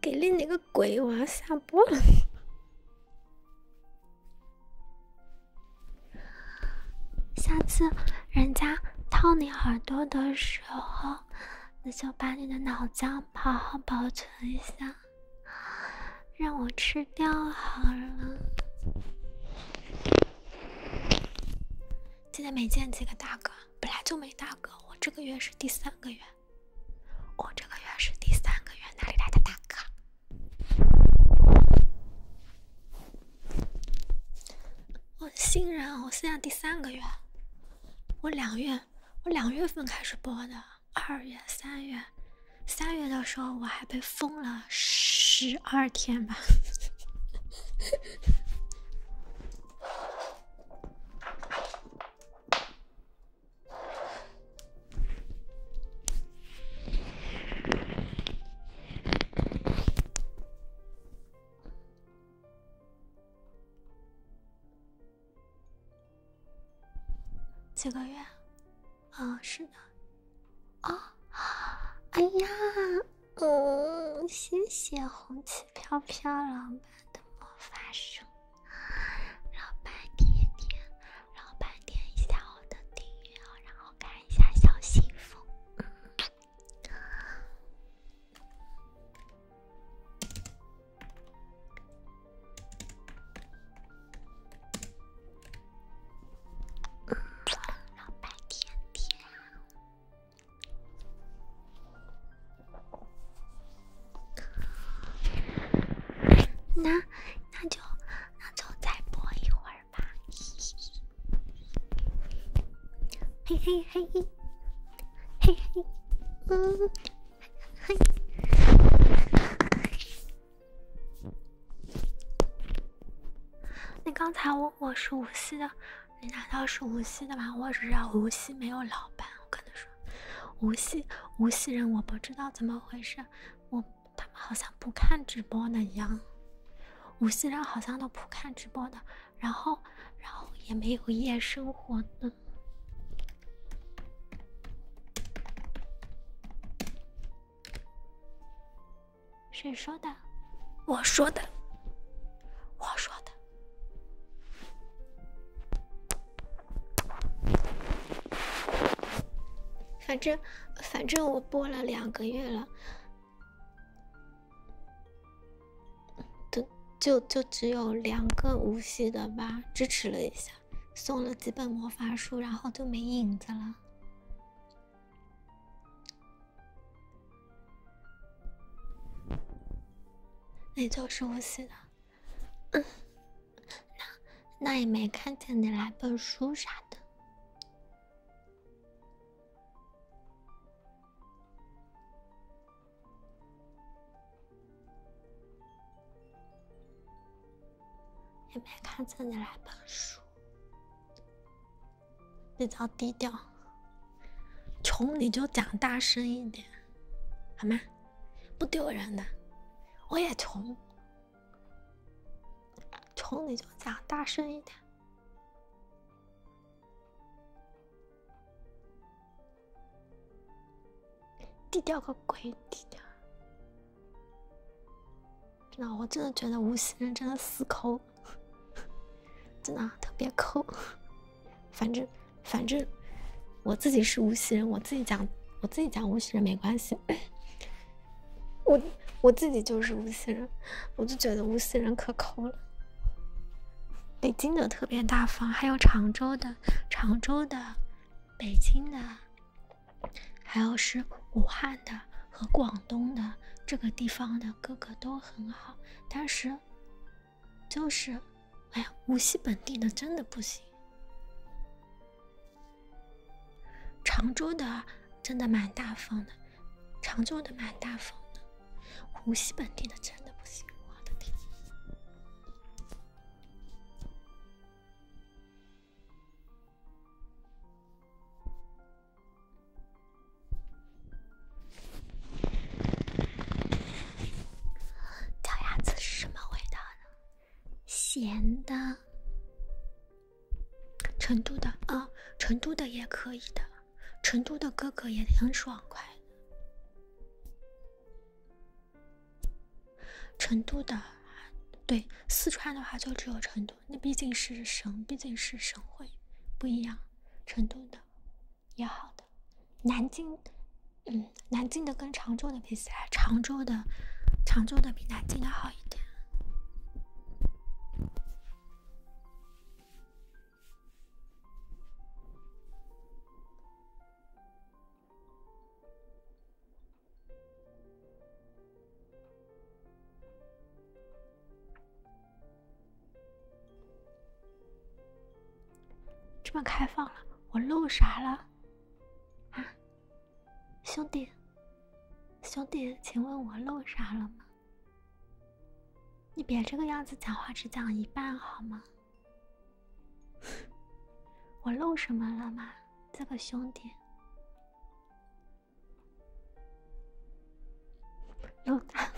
给力你个鬼！我要下播了。下次人家掏你耳朵的时候，你就把你的脑浆好好保存一下。让我吃掉好了。现在没见几个大哥，本来就没大哥。我这个月是第三个月，我这个月是第三个月，哪里来的大哥？我新人，我现在第三个月，我两月，我两月份开始播的，二月、三月。三月的时候，我还被封了十二天吧。这个月。啊，是的，啊，哎呀，嗯，谢谢红旗飘飘老板的魔法书。老板点点，老板点一下我的订阅，然后看一下小信封。老那那就那就再播一会儿吧，嘿嘿嘿嘿嘿嘿，嗯，嘿。你刚才我我是无锡的，你难道是无锡的吗？我只知道无锡没有老板，我跟他说无锡无锡人我不知道怎么回事，我他们好像不看直播的一样，无锡人好像都不看直播的，然后然后也没有夜生活的。谁说的？我说的，我说的。反正，反正我播了两个月了，就就就只有两个无锡的吧，支持了一下。送了几本魔法书，然后就没影子了。那就是我写的，那那也没看见你来本书啥的。也没看见你来本书，比较低调。穷你就讲大声一点，好吗？不丢人的，我也穷，穷你就讲大声一点。低调个鬼，低调。真的，我真的觉得无锡人真的死抠，真的特别抠。反正，反正我自己是无锡人，我自己讲，我自己讲无锡人没关系。我我自己就是无锡人，我就觉得无锡人可抠了。北京的特别大方，还有常州的，常州的，北京的。还有是武汉的和广东的这个地方的哥哥都很好，但是，就是，哎呀，无锡本地的真的不行。常州的真的蛮大方的，常州的蛮大方的，无锡本地的真的不行，我的天！脚牙子是什么味道的？咸的？成都的啊，成都的也可以的，成都的哥哥也很爽快。成都的，对四川的话就只有成都，那毕竟是省，毕竟是省会，不一样。成都的也好的，南京，嗯，南京的跟常州的比起来，常州的，常州的比南京的好一点。这么开放了，我漏啥了？啊，兄弟，兄弟，请问我漏啥了吗？你别这个样子讲话，只讲一半好吗？我漏什么了吗？这个兄弟。又 大，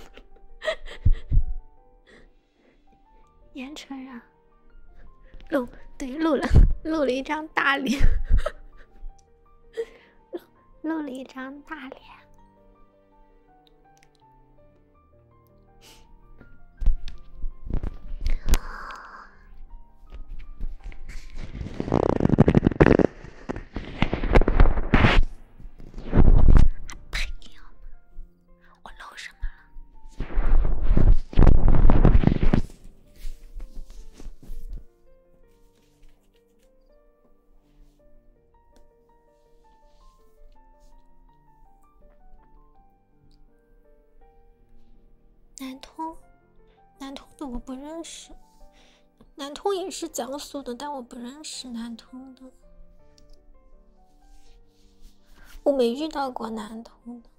盐城人，露对露了，露了一张大脸，露了一张大脸。哎呀！我漏什么？了？南通，南通的我不认识。南通也是江苏的，但我不认识南通的。我没遇到过南通的。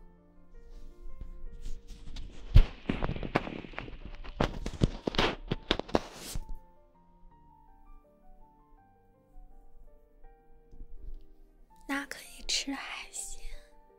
那可以吃海鲜。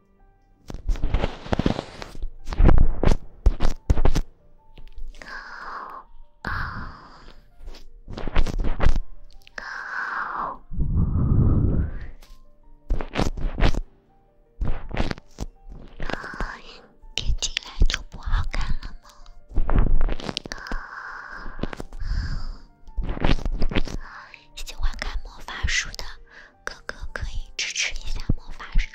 贴喜欢看魔法书的哥哥可以支持一下魔法书。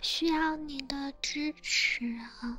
需要你的支持啊！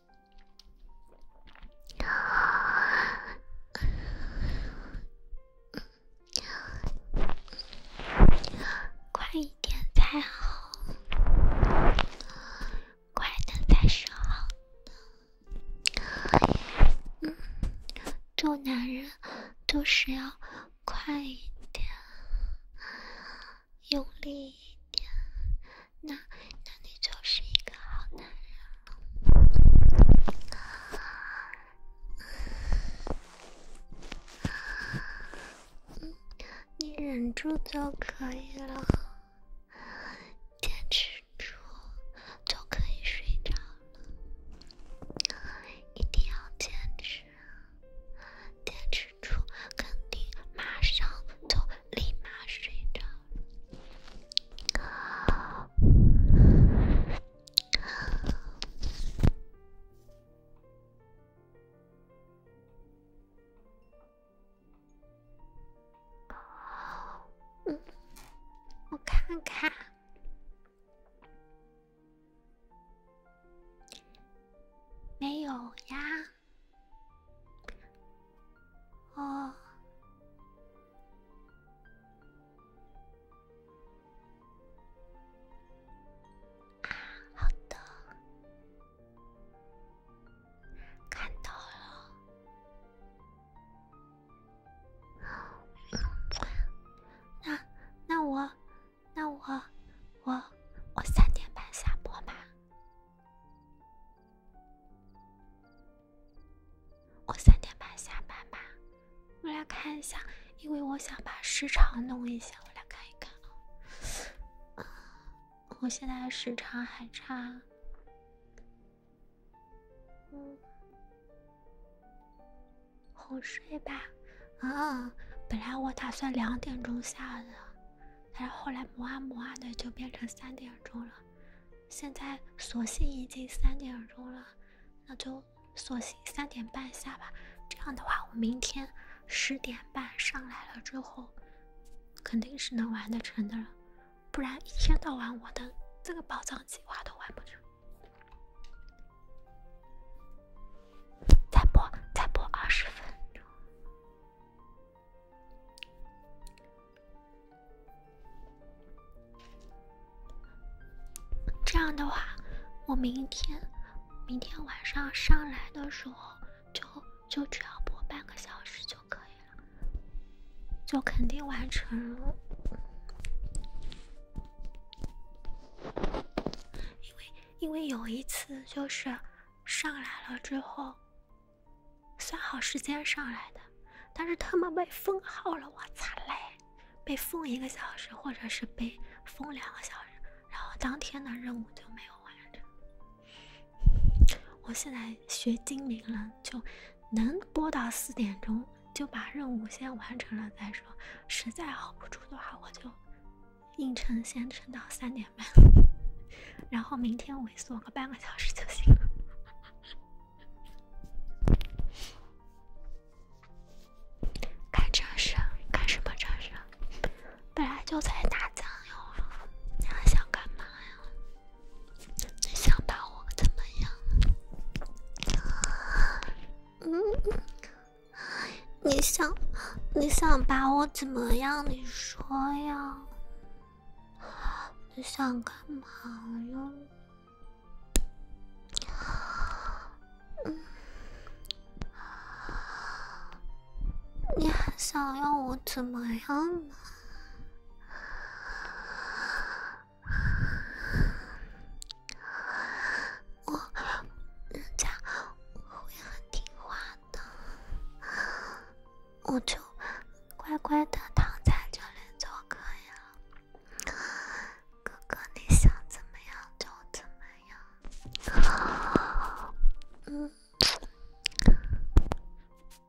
快一点才好，快的才是好的。做男人都是要快一点，用力一点。那，那你就是一个好男人了。嗯，你忍住就可以了，坚持住就可以睡着了。一定要坚持，啊，坚持住，肯定马上。就立马睡着了。我看看，没有呀。哦，好的，看到了。那那我那我我我三点半下播吧。我三点半下班吧，我来看一下，因为我想把时长弄一下，我来看一看啊。我现在时长还差，嗯，哄睡吧。啊，本来我打算两点钟下的。但是后来磨啊磨啊的，就变成三点钟了。现在索性已经三点钟了，那就索性三点半下吧。这样的话，我明天十点半上来了之后，肯定是能玩得成的了。不然一天到晚，我的这个宝藏计划都完不成。再播，再播二十分钟。这样的话，我明天明天晚上上来的时候，就就只要播半个小时就可以了，就肯定完成了。因为因为有一次就是上来了之后。算好时间上来的，但是他们被封号了，我操嘞！被封一个小时，或者是被封两个小时，然后当天的任务就没有完成。我现在学精灵了，就能播到四点钟，就把任务先完成了再说。实在熬不住的话，我就硬撑，先撑到三点。然后明天猥琐个半个小时就行了。干这事？干什么这事？本来就在打酱油啊！你还想干嘛呀？你想把我怎么样？嗯，你想，你想把我怎么样？你说呀。你想干嘛哟？你还想要我怎么样我，人家会很听话的。我就乖乖的躺在这里就可以了。哥哥，你想怎么样就怎么样。嗯，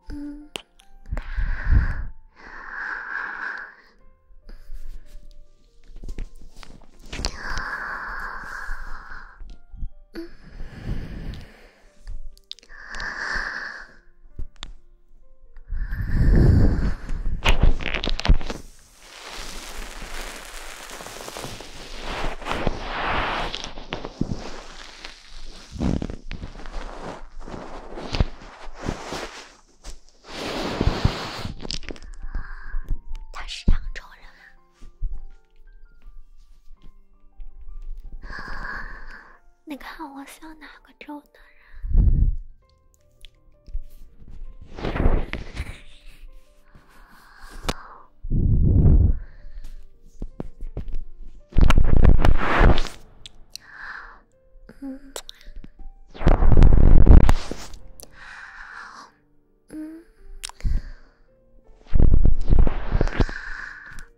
嗯，嗯，嗯。他是扬州人啊。你看我像哪个州的人？嗯，嗯。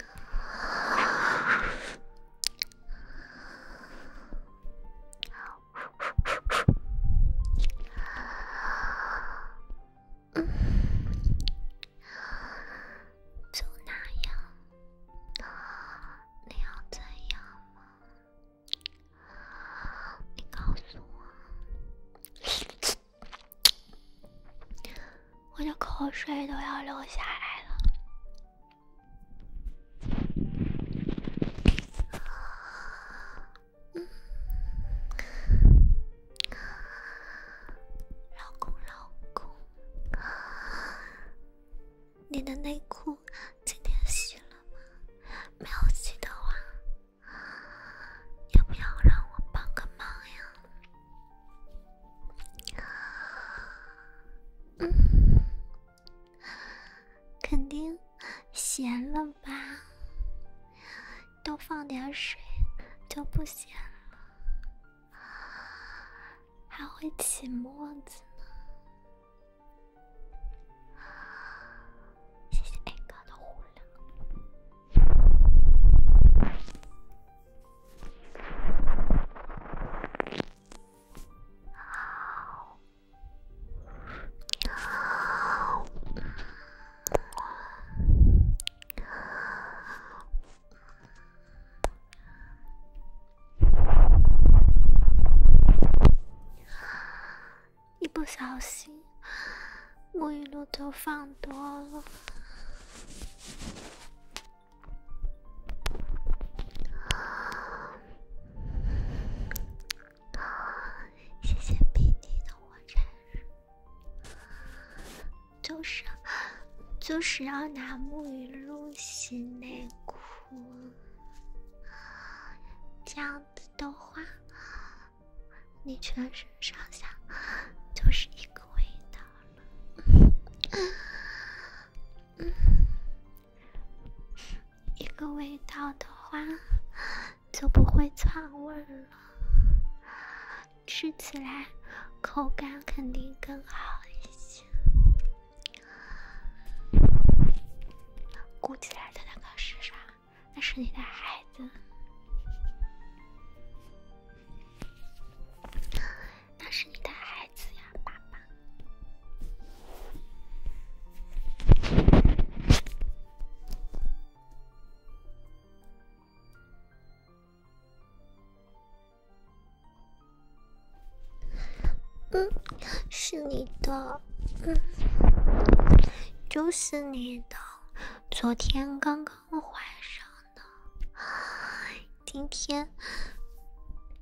啊，就那样。啊，你要怎样啊，你告诉我。我的口水都要流下来了。老公，老公，你的内裤今天洗了吗？没有洗的话，要不要让我帮个忙呀？肯定咸了吧？多放点水就不咸了，还会起沫子呢。谢谢 A 哥的红。一不小心，沐浴露都放多了。啊！谢谢美女的火柴，就是就是要拿沐浴露洗内裤，这样子的话，你全身上下就是一个味道了。一个味道的话就不会串味了，吃起来口感肯定更好一些。鼓起来的那个是啥？那是你的孩子。那是你的孩子呀，爸爸。嗯，是你的，嗯，就是你的，昨天刚刚怀上。今天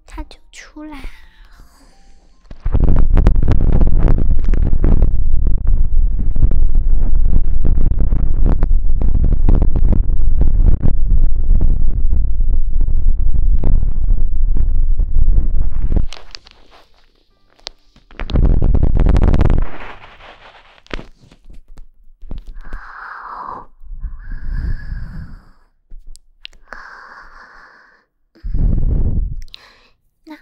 他就出来了。那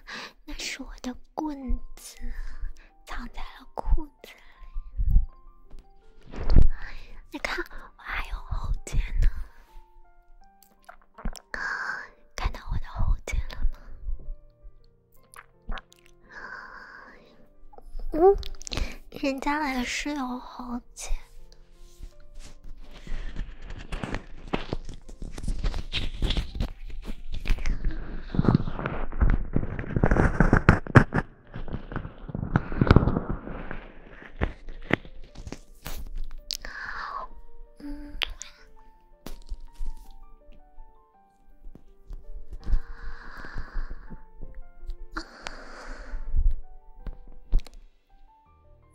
那是我的棍子，藏在了裤子里。你看，我还有喉结呢。看到我的喉结了吗？嗯，人家来是有好姐。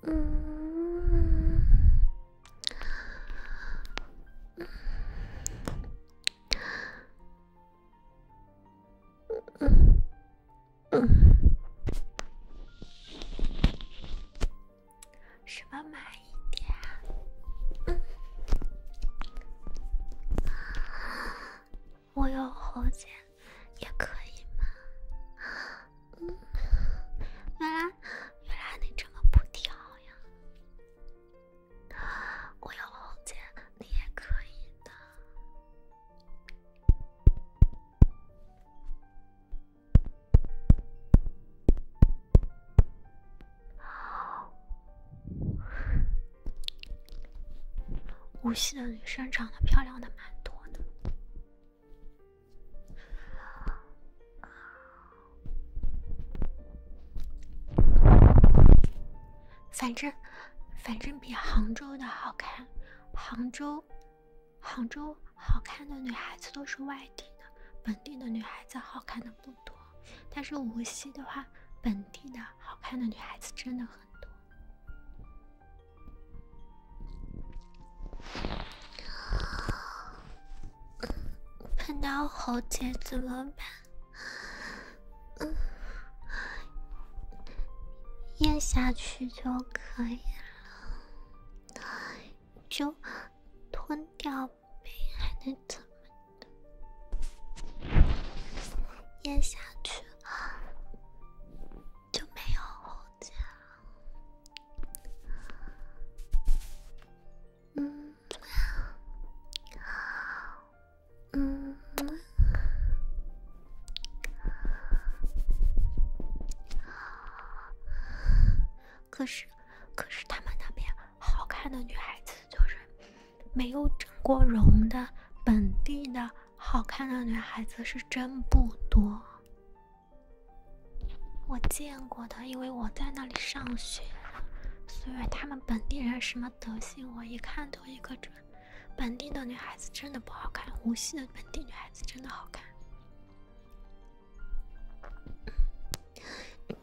嗯嗯嗯，什么买一点？嗯。我有喉结，也可以吗？原来，原来你这么不挑呀？我有喉结，你也可以的。无锡的女生长得漂亮的蛮多的，反正反正比杭州的好看。杭州杭州好看的女孩子都是外地的，本地的女孩子好看的不多。但是无锡的话，本地的好看的女孩子真的很。喷到喉结怎么办？嗯，咽下去就可以了，就吞掉呗，还能怎么的？咽下去。啊，就没有可是，可是他们那边好看的女孩子就是没有整过容的本地的。好看的女孩子是真不多，我见过的，因为我在那里上学，所以他们本地人什么德行我一看都一个准。本地的女孩子真的不好看，无锡的本地女孩子真的好看。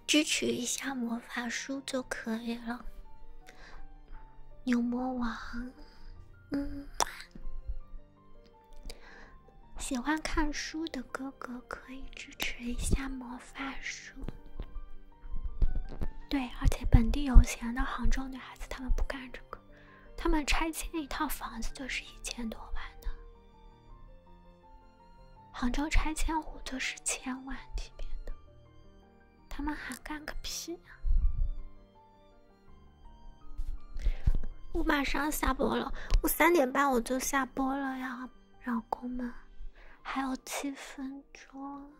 支持一下魔法书就可以了。牛魔王，嗯，喜欢看书的哥哥可以支持一下魔法书。对，而且本地有钱的杭州女孩子，她们不干这个，他们拆迁一套房子就是一千多万的，杭州拆迁户就是千万级别的。他们还干个屁！呀、我马上下播了，我三点半我就下播了呀，老公们，还有七分钟。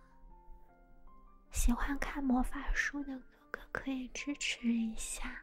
喜欢看魔法书的哥哥可以支持一下。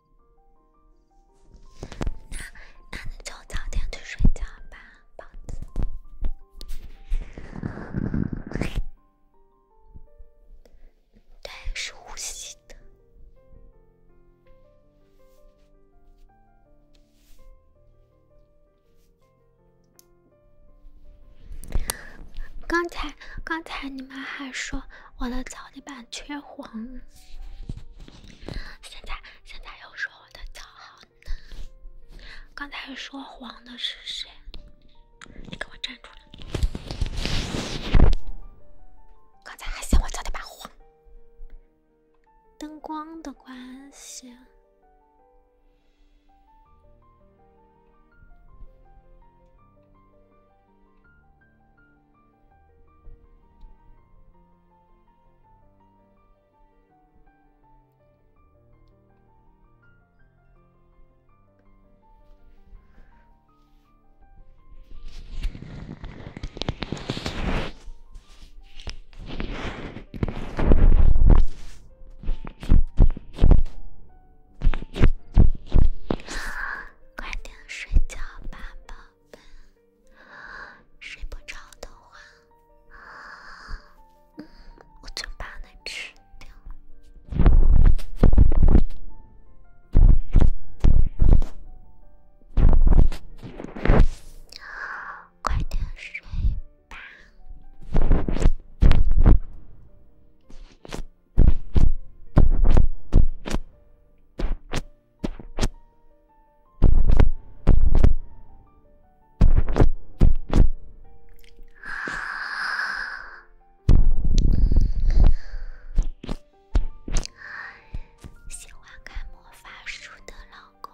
那那你就早点去睡觉吧，包子。对，是呼吸的。刚才刚才你们还说我的脚底板。缺黄，现在现在又说我的脚好嫩，刚才说黄的是谁？你给我站出来！刚才还嫌我脚底板黄，灯光的关系。快点睡觉吧，宝贝。睡不着的话，我就把那吃掉。快点睡吧。喜欢看魔法书的老公，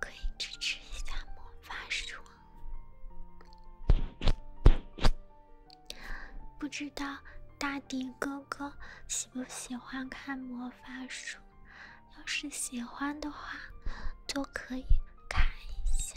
可以支持一下魔法书。不知道大迪哥哥喜不喜欢看魔？发术，要是喜欢的话，就可以看一下。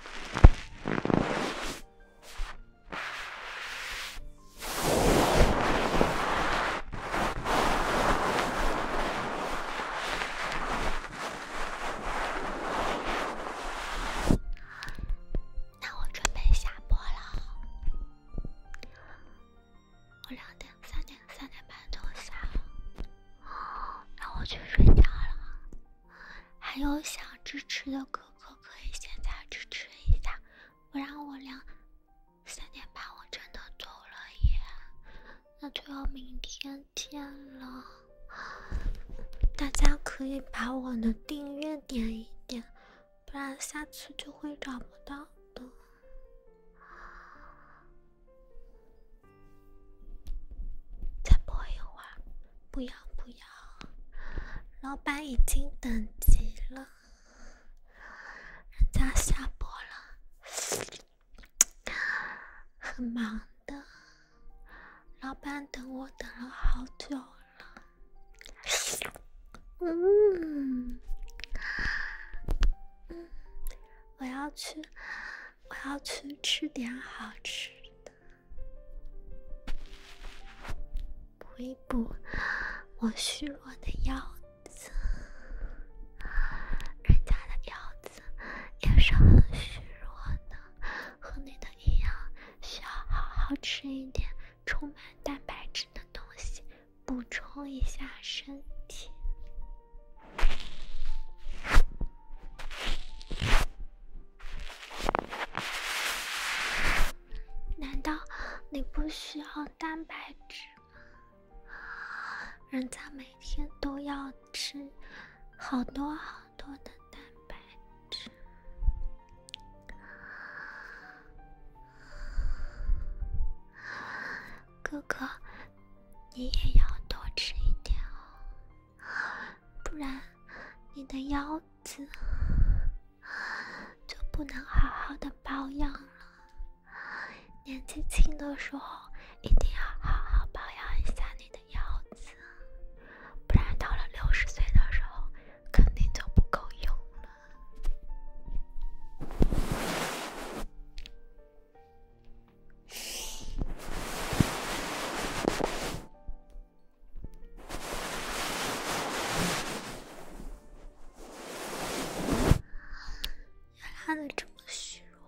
那我准备下播了，我两点、三点、三点半就下，了。那我去睡觉了。还有想支持的哥哥可以现在支持一下，不然我俩三点半我真的走了耶，那就要明天见了。大家可以把我的订阅点一点，不然下次就会找不到的。再播一会儿，不要不要！老板已经等急了，人家下播了，很忙的。老板等我等了好久了，嗯，我要去，我要去吃点好吃。补一补我虚弱的腰子，人家的腰子也是很虚弱的，和你的一样，需要好好吃一点充满蛋白质的东西，补充一下身体。难道你不需要蛋白质吗？人家每天都要吃好多好多的蛋白质。哥哥，你也要多吃一点哦。不然，你的腰子就不能好好的保养了。年纪轻的时候，一定要好好保养一下你的腰子，不然到了六十岁的时候，肯定就不够用了。他丫的这么虚弱，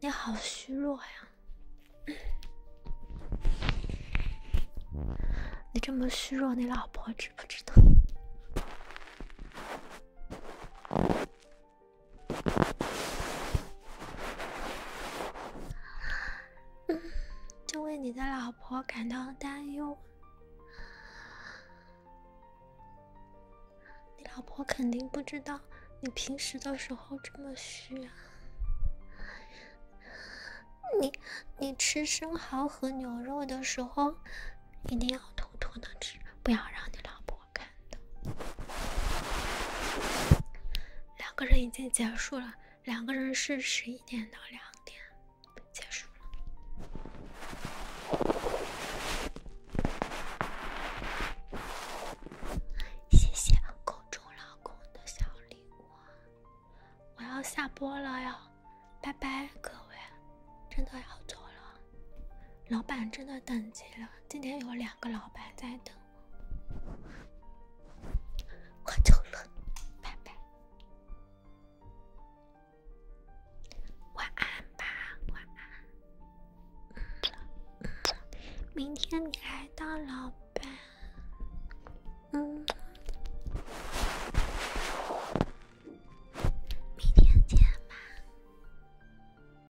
你好虚弱呀！你这么虚弱，你老婆知不知道？就为你的老婆感到担忧。你老婆肯定不知道你平时的时候这么虚。你你吃生蚝和牛肉的时候，一定要偷偷的吃，不要让你老婆。看到。两个人已经结束了。两个人是十一点到两点结束了。谢谢口中老公的小礼物，我要下播了哟，拜拜各位，真的要走了，老板真的等急了。今天有两个老板在等我，挂走了，拜拜，晚安吧，晚安。明天你来当老板，嗯，明天见吧。